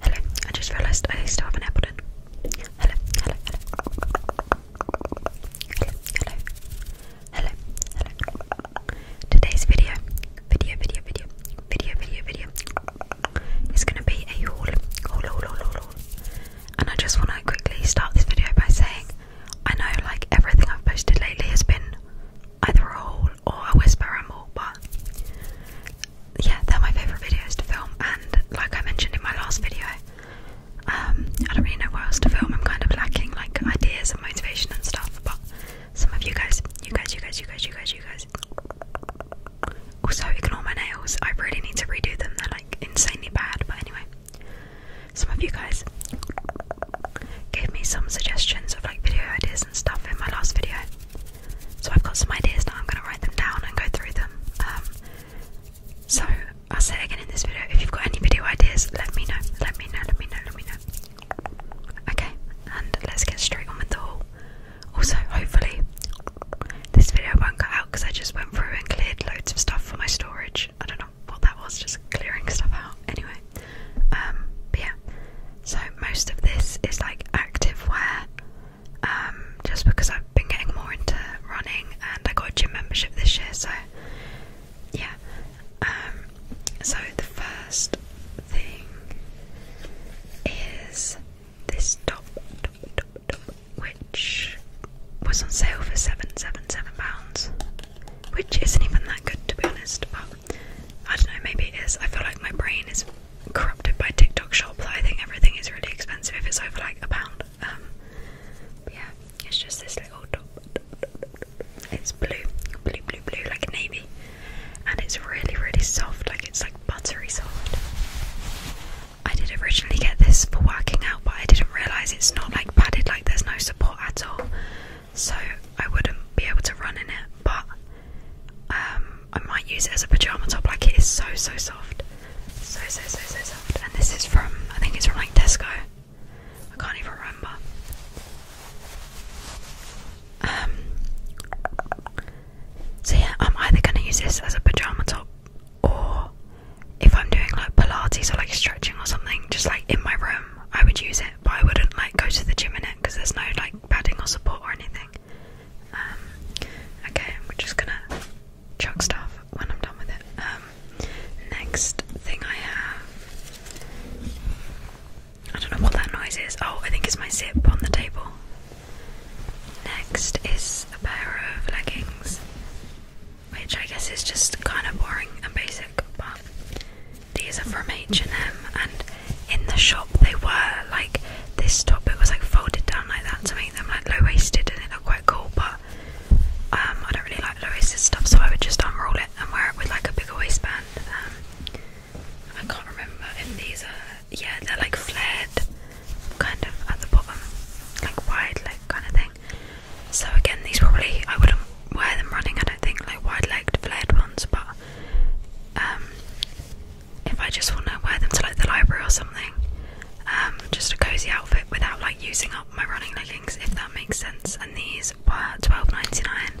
Hello, I just realised I still haven't apple in. Hello, hello, hello. Hello, hello. Hello, hello. Today's video, video, video, video, video, video, video is going to be a haul, haul, haul, haul, haul, haul. And I just want to quickly start this video by saying I know like everything I've posted lately has been either a haul or a whisper ramble, but yeah, they're my favourite videos to film. And like I mentioned in my last video, um, I don't really know what else to film. I'm kind of lacking like ideas and motivation and stuff. But some of you guys, you guys, you guys, you guys, you guys, you guys. Also, my nails. I really need to redo them. They're like insanely bad. But anyway, some of you guys gave me some suggestions of like video ideas and stuff in my last video. So I've got some ideas now. I'm going to write them down and go through them. Um, so I'll say again in this video. If you've got any video ideas, let me know. Let me know. Let me know. Let me know. Okay, and let's get straight on with the haul. Also, hopefully, this video won't cut out because I just went through and cleared loads of stuff for my storage. I don't know what that was, just clearing stuff out. Anyway, um, yeah, so most of this is like active wear, um, just because I've been getting more into running and I got a gym membership this year, so yeah. Um, so the first thing is this top which was on sale for seven, seven, seven pounds, which isn't even that good to be honest, but I don't know, maybe it is. I feel like my brain is corrupted by TikTok shop that I think everything is really expensive if it's over like a pound. Um, yeah, it's just this little top. It's blue, blue, blue, blue, like navy. And it's really, really soft, like it's like buttery soft. I did originally get this for working out, but I didn't realise it's not like padded, like there's no support at all so I wouldn't be able to run in it, but um, I might use it as a pajama top. Like it is so so soft, so so so so soft. And this is from I think it's from like Tesco. I can't even remember. Um, so yeah, I'm either gonna use this as a pajama top, or if I'm doing like Pilates or like stretching or something, just like in my room, I would use it, but I wouldn't like go to the gym in it because there's no like padding or support or anything. Um, okay, I'm just gonna chuck stuff when I'm done with it. Um, next thing I have, I don't know what that noise is. Oh, I think it's my zip on the table. Next is a pair of leggings, which I guess is just kind of boring and basic, but these are from H&M and in the shop they were like this top it was like folded down like that to make them like low waisted and they look quite cool but um, I don't really like low waisted stuff so I would just unroll it and wear it with like a bigger waistband um, I can't remember if these are yeah they're like flared kind of at the bottom like wide leg kind of thing so again these probably I wouldn't wear them running I don't think like wide leg flared ones but um, if I just want to wear them to like the library or something, um, just a cozy outfit without like using up my running leggings, if that makes sense. And these were twelve ninety nine,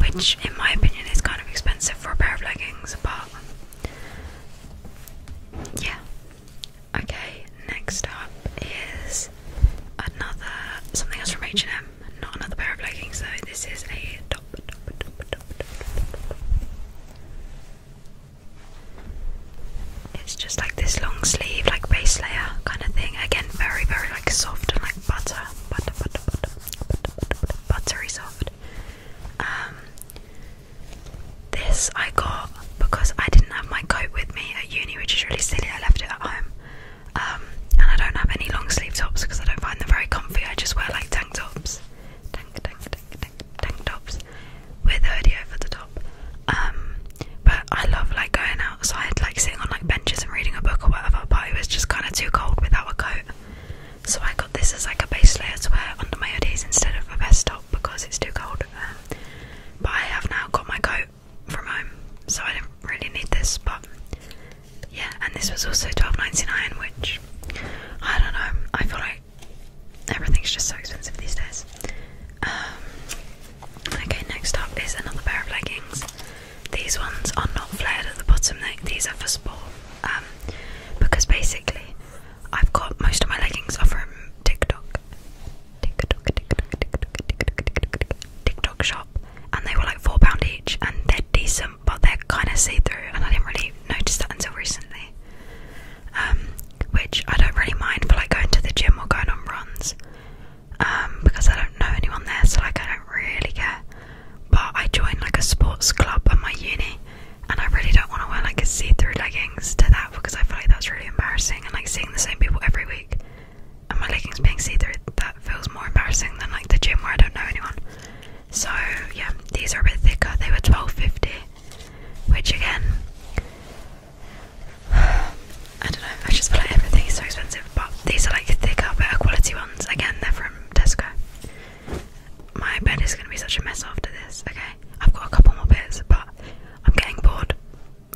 which in my opinion is kind of expensive for a pair of leggings, but yeah. Okay, next up is another something else from H and M. Not another pair of leggings though. This is a top. It's just like this long sleeve, like base layer kind of thing. Again, very very like soft and like butter, butter, butter, butter, butter, butter, butter buttery soft. Um, this I got because I didn't have my coat with me at uni, which is really silly. I left it at home. Um, and I don't have any long sleeve tops because I don't find them very comfy. I just wear like tank tops, tank, tank, tank, tank, tops with the hoodie over the top. Um, but I love like going outside, like sitting on like benches and reading a book or whatever. But it was just kind of too cold without a coat, so I got this as like a base layer to wear under my hoodies instead of a vest top because it's too cold. Um, but I have now got my coat from home, so I didn't really need this. But yeah, and this was also twelve ninety nine, which I don't know. I feel like everything's just so expensive these days. Um, okay, next up is another pair of leggings. These ones are not flared at the bottom. These are for sport. Um, because basically, I've got most of my leggings are from TikTok. TikTok, TikTok, TikTok, TikTok, TikTok, TikTok, TikTok, TikTok shop and they were like £4 each and they're decent but they're kind of see through and I didn't really notice that until recently. Um, which I don't really mind for like going to the gym or going on runs um, because I don't know anyone there so like I don't really care. But I joined like a sports club at my uni and I really don't want to wear like a see through leggings to that because I feel like that's really embarrassing and like seeing the same people every week and my leggings being see-through, that feels more embarrassing than like the gym where I don't know anyone. So yeah, these are a bit thicker. They were twelve fifty, which again, I don't know. I just feel like everything is so expensive, but these are like thicker, better quality ones. Again, they're from Tesco. My bed is gonna be such a mess after this. Okay, I've got a couple more bits, but I'm getting bored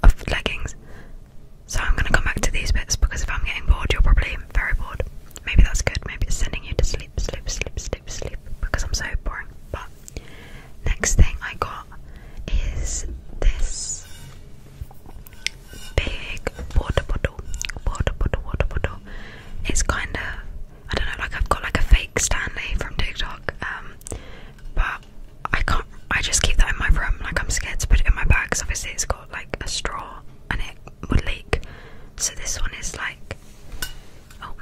of leggings. So I'm going to come back to these bits because if I'm getting bored, you're probably very bored. Maybe that's good. Maybe it's sending you to sleep, sleep, sleep, sleep, sleep because I'm so boring. But next thing I got is this big water bottle. Water bottle, water bottle. It's kind of I don't know, like I've got like a fake Stanley from TikTok, um, but I can't. I just keep that in my room. Like I'm scared to put it in my bag. Cause obviously it's got like a straw and it would leak. So this one is like, oh,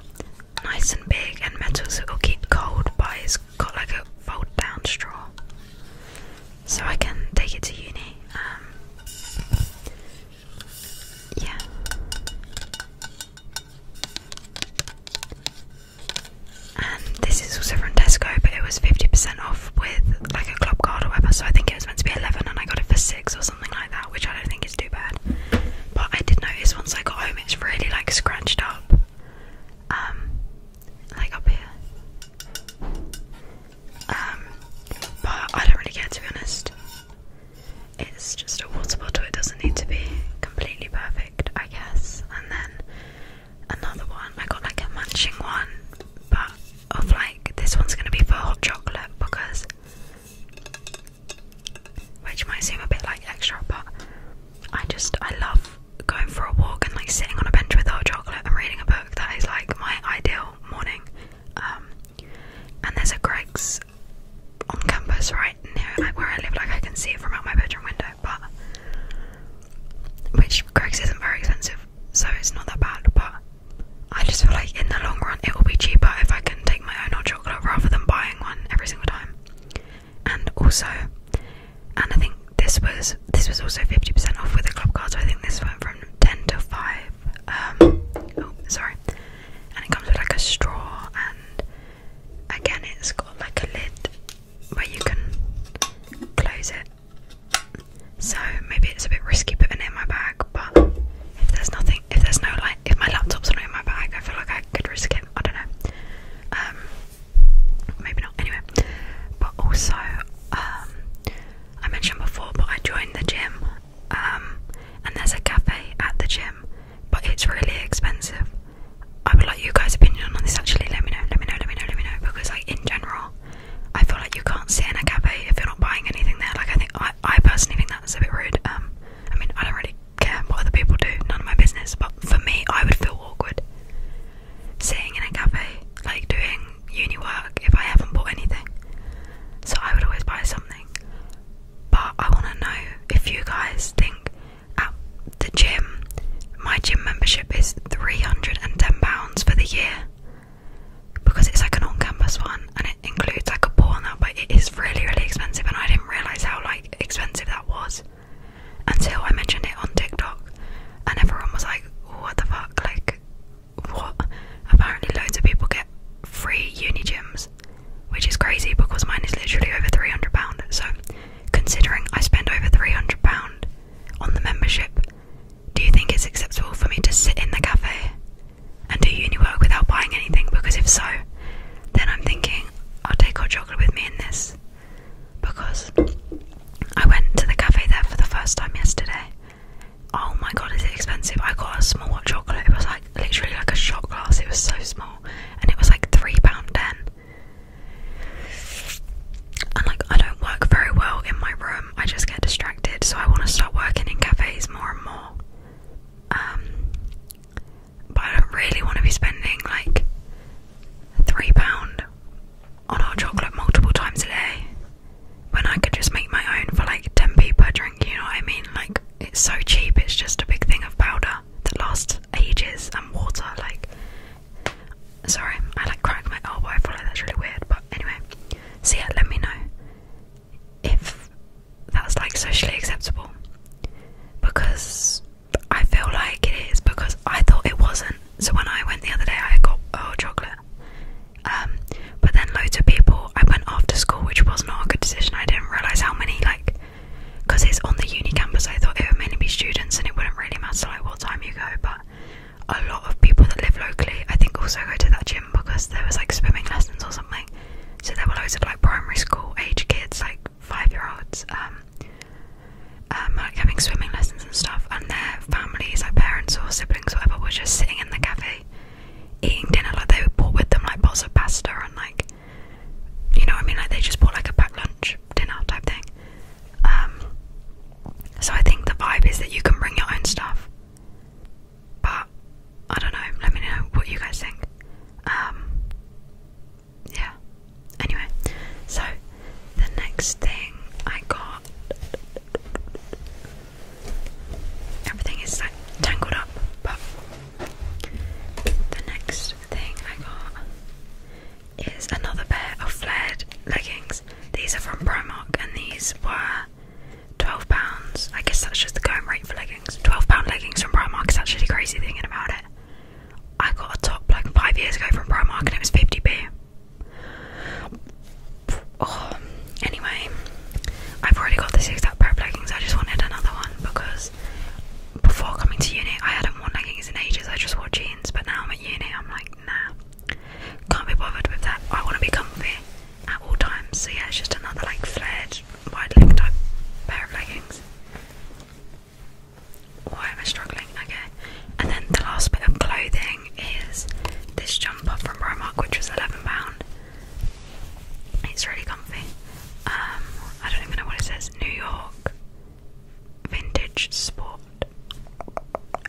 nice and big and metal, so it'll keep cold. But it's got like a fold down straw, so I can take it to uni. Um, yeah and this is also from Tesco, but it was 50% off with like a club card or whatever. So I think it was meant to be 11, and I got it for six or something like that, which I don't think is too bad. But I did notice once I got home, it's really like scratched up, um, like up here. Um, but I don't really care to be honest. It's just a water bottle. It doesn't need to be completely perfect, I guess. And then another one. I got like a matching one, but of like this one's gonna be for hot chocolate because, which might seem a bit like extra, but I just I love going for a walk and like sitting on a bench with hot chocolate and reading a book. That is like my ideal morning. Um, and there's a Greg's on campus right near where I live. Like I can see it from out my bedroom window, but which Greg's isn't very expensive, so it's not that bad. But I just feel like in the long run, it will be cheaper if I can take my own hot chocolate rather than buying one every single time. And also, and I think this was this was also fifty percent off with a club card. So I think this went from ten to five. Um, oh, sorry. And it comes with like a straw, and again, it's got like a lid where you can close it. So maybe it's a bit risky putting it in my bag, but if there's nothing, if there's no like, if my laptop's not in my bag, I feel like I could risk it. I don't know. Um, maybe not. Anyway, but also, um, I mentioned before, but I joined the gym, um, and there's a cafe at the gym, but it's really expensive. I would like you guys' opinion on this actually. Let me know, let me know, let me know, let me know. Because, like, in general, I feel like you can't sit in a cafe if you're not buying anything there. Like, I think, I, I personally think that's a bit rude. Um, I mean, I don't really care what other people do, none of my business. But for me, I would feel awkward sitting in a cafe, like, doing uni work if I haven't bought anything. So I would always buy something. But I want to know if you guys think at the gym. My gym membership is £310 for the year because it's like an on campus one and it includes like a pool now. but it is really, really expensive. And I didn't realise how like expensive that was until I mentioned it on TikTok, and everyone was like, What the fuck? Like, what? Apparently, loads of people get free uni gyms, which is crazy because mine is literally over £300. So, Considering I spend over £300 on the membership, do you think it's acceptable for me to sit in the cafe and do uni work without buying anything? Because if so, then I'm thinking I'll take hot chocolate with me in this. Because I went to the cafe there for the first time yesterday. Oh my god, is it expensive? I got a small hot chocolate. It was like literally like a shot glass. It was so small, and it was like three pound ten. And like, I don't work very well in my room, I just get distracted, so I want to start working in cafes more and more. Um, but I don't really want to be spending like £3 on hot chocolate multiple times a day when I could just make my own for like 10p per drink, you know what I mean? Like, it's so cheap, it's just a big thing of powder that lasts ages and water. Like, Sorry, I like cracked my elbow. I feel like that's really weird, but anyway. So yeah, let me know if that's like socially acceptable because I feel like it is because I thought it wasn't. So when I went the other day, I got oh chocolate. Um, but then loads of people. I went after school, which was not a good decision. I didn't realize how many like because it's on the uni campus, I thought it would mainly be students and it wouldn't really matter like what time you go. But a lot of people that live locally, I think, also go to that gym because there was like swimming lessons or something. So there were loads of like primary school age kids, like five year olds, um, um, like having swimming lessons and stuff. And their families, like parents or siblings, or whatever, were just sitting in the cafe eating dinner. Like they brought with them like pots of pasta and like, you know what I mean? Like they just brought like a packed lunch dinner type thing. Um, so I think the vibe is that you can bring your own stuff, but I don't know. Let me know what you guys think. Um, yeah. Anyway, so the next thing I got, everything is like tangled up, but the next thing I got is another pair of flared leggings. These are from Primark and these were £12. I guess that's just the going rate for leggings. £12 leggings from Primark is actually crazy thinking about it. I got a top like five years ago from Primark and it was 50p. Oh, anyway, I've already got the exact pair leggings. I just wanted another one because before coming to uni, I hadn't worn leggings in ages. I just wore jeans, but now I'm at uni. I'm like, nah, can't be bothered with that. I want to be comfy at all times. So yeah, it's just another like flared, wide leg type pair of leggings. Why am I struggling? Okay. And then the last bit of clothing is this jumper from Primark, which was £11. It's really comfy. Um, I don't even know what it says. New York Vintage Sport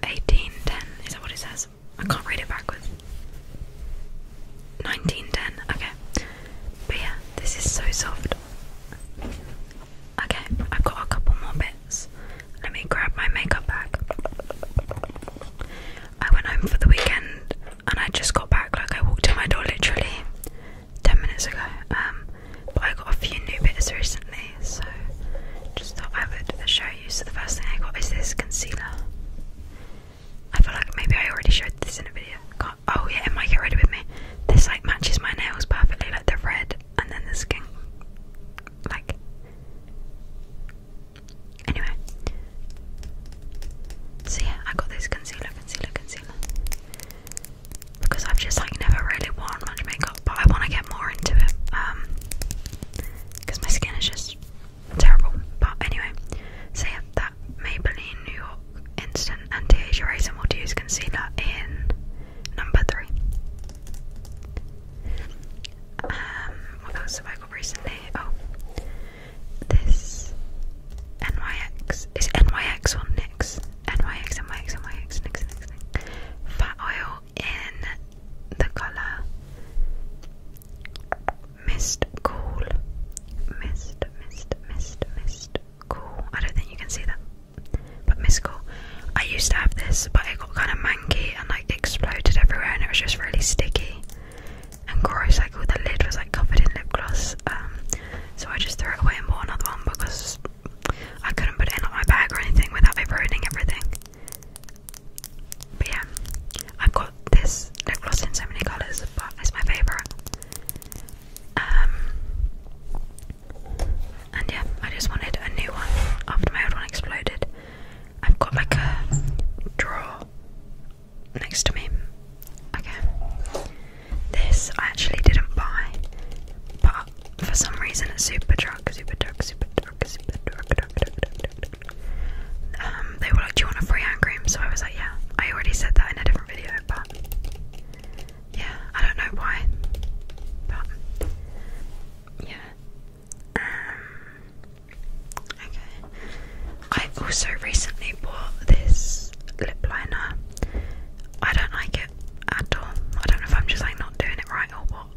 1810. Is that what it says? I can't read it backwards. 1910. Okay. But yeah, this is so soft. Okay, I've got a couple more bits. Let me grab my makeup bag. I went home for the weekend and I just got back. Like, I walked in my door literally 10 minutes ago. Um, but I got a few new bits recently, so just thought I would show you. So, the first thing I got is this concealer. I feel like maybe I already showed this in a video. oh, yeah, it get ready with me. This like matches my nails perfectly, like the red and then the skin. Like, anyway. So, yeah, I got this concealer, concealer, concealer because I've just like never really worn much makeup, but I want to get more into it um because my skin is just terrible. But anyway, so yeah, that Maybelline New York Instant anti What Do You use Concealer in number three. Um, what else have I got recently? Oh, this NYX is NYX on NYX, NYX, NYX, NYX, NYX, fat oil in the color Mist Cool. Mist, mist, mist, mist, cool. I don't think you can see that, but mist cool. I used to have this, but it got kind of manky and like exploded everywhere, and it was just really sticky and gross. Like all the lid was like covered in lip gloss. Um, so I just threw it away and bought another one because I couldn't put it in like, my bag or anything without it ruining everything. But yeah, I've got this lip gloss in so many colours, but it's my favourite. Um, and yeah, I just wanted a new one after my old one exploded. I've got like a drawer next to me. Okay. This I actually didn't buy, but for some reason at Superdrug, Superdrug, Superdrug, Superdrug, drug, drug, drug, drug, um, they were like, "Do you want a free hand cream?" So I was like, "Yeah." I already said that in a different video, but yeah, I don't know why, but yeah. Um, okay. I also recently bought this lip liner. I don't like it at all. I don't know if I'm just like not doing it right or what.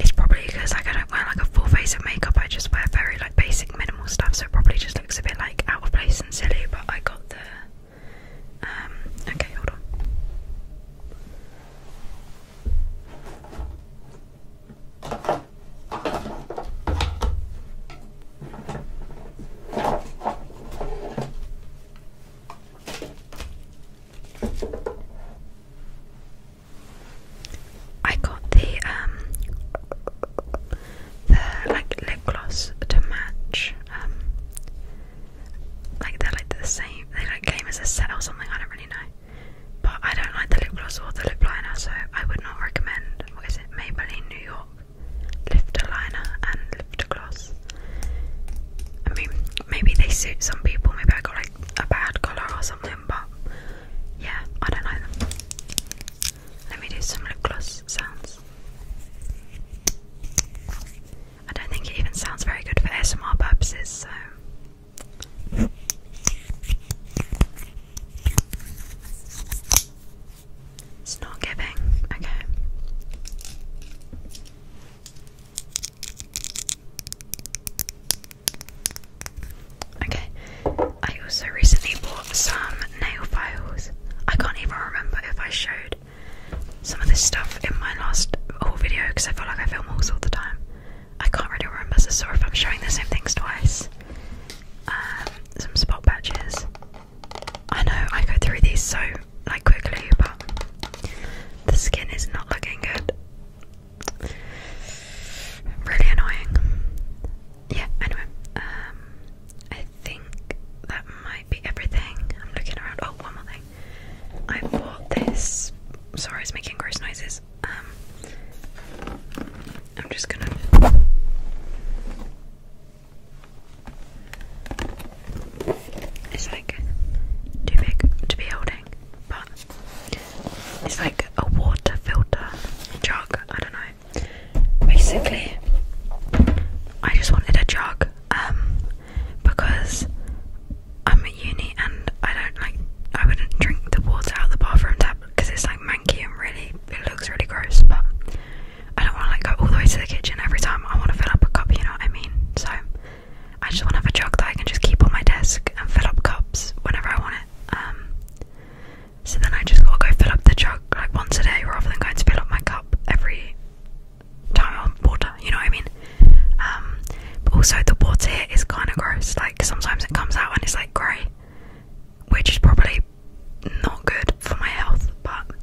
It's probably because like I don't wear like a full face of makeup. I just wear very like basic minimal stuff, so it probably just looks a bit like out of place and silly. But I got the um, Okay, hold on. I got the um the like lip gloss to match um like they're like the same they like came as a set or something I don't really know but I don't like the lip gloss or the lip liner so I would not recommend what is it Maybelline New York lifter liner and lifter gloss. I mean, maybe they suit some people. Maybe I got like a bad colour or something, but yeah, I don't like them. Let me do some lip gloss sounds. I don't think it even sounds very good for ASMR purposes, so. It's not giving. Okay. Okay. I also recently bought some nail files. I can't even remember if I showed some of this stuff in my last whole video because I feel like I film all the time. I can't really remember, so if I'm showing the same things twice. Um, some spot patches. I know I go through these so like quickly, but the skin is not looking good. Really annoying. Yeah. Anyway, um, I think that might be everything. I'm looking around. Oh, one more thing. I bought this. Sorry, it's making gross noises. Um, I'm just gonna. It's like too big to be holding, but it's like a water filter jug. I don't know. Basically, I just wanted a jug um, because I'm at uni and I don't like. I wouldn't drink the water out of the bathroom tap because it's like manky and really it looks really gross. But I don't want to like go all the way to the kitchen every time I want to fill up a cup, you know what I mean? So I just want to have a jug that I can just keep on my desk and fill up cups whenever I want it. Um, so then I just gotta go fill up the jug like once a day rather than going to fill up my cup every time on water, you know what I mean? Um, but also the water here is kind of gross, like sometimes it comes out and it's like grey which is probably not good for my health, but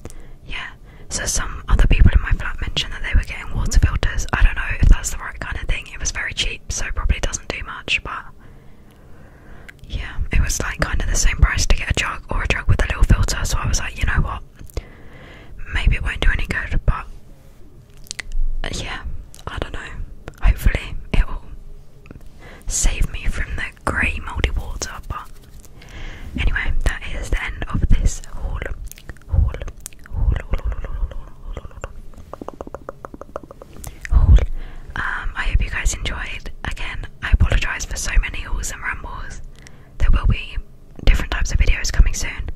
yeah. So, some other people in my flat mentioned that they were getting water filters. I don't know if that's the right kind of thing. It was very cheap, so probably doesn't do much, but yeah, it was like kind of the same price to get a jug or a jug with a little filter. So, I was like, you know what? Maybe it won't do any good, but yeah, I don't know. Hopefully, it will save me from the that grey mouldy water. But anyway, that is the end of this haul. Haul. Haul. Haul. Um, I hope you guys enjoyed. Again, I apologise for so many hauls and rambles. There will be different types of videos coming soon.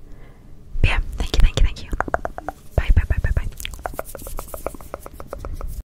But yeah, thank you, thank you, thank you. Bye, bye, bye, bye, bye.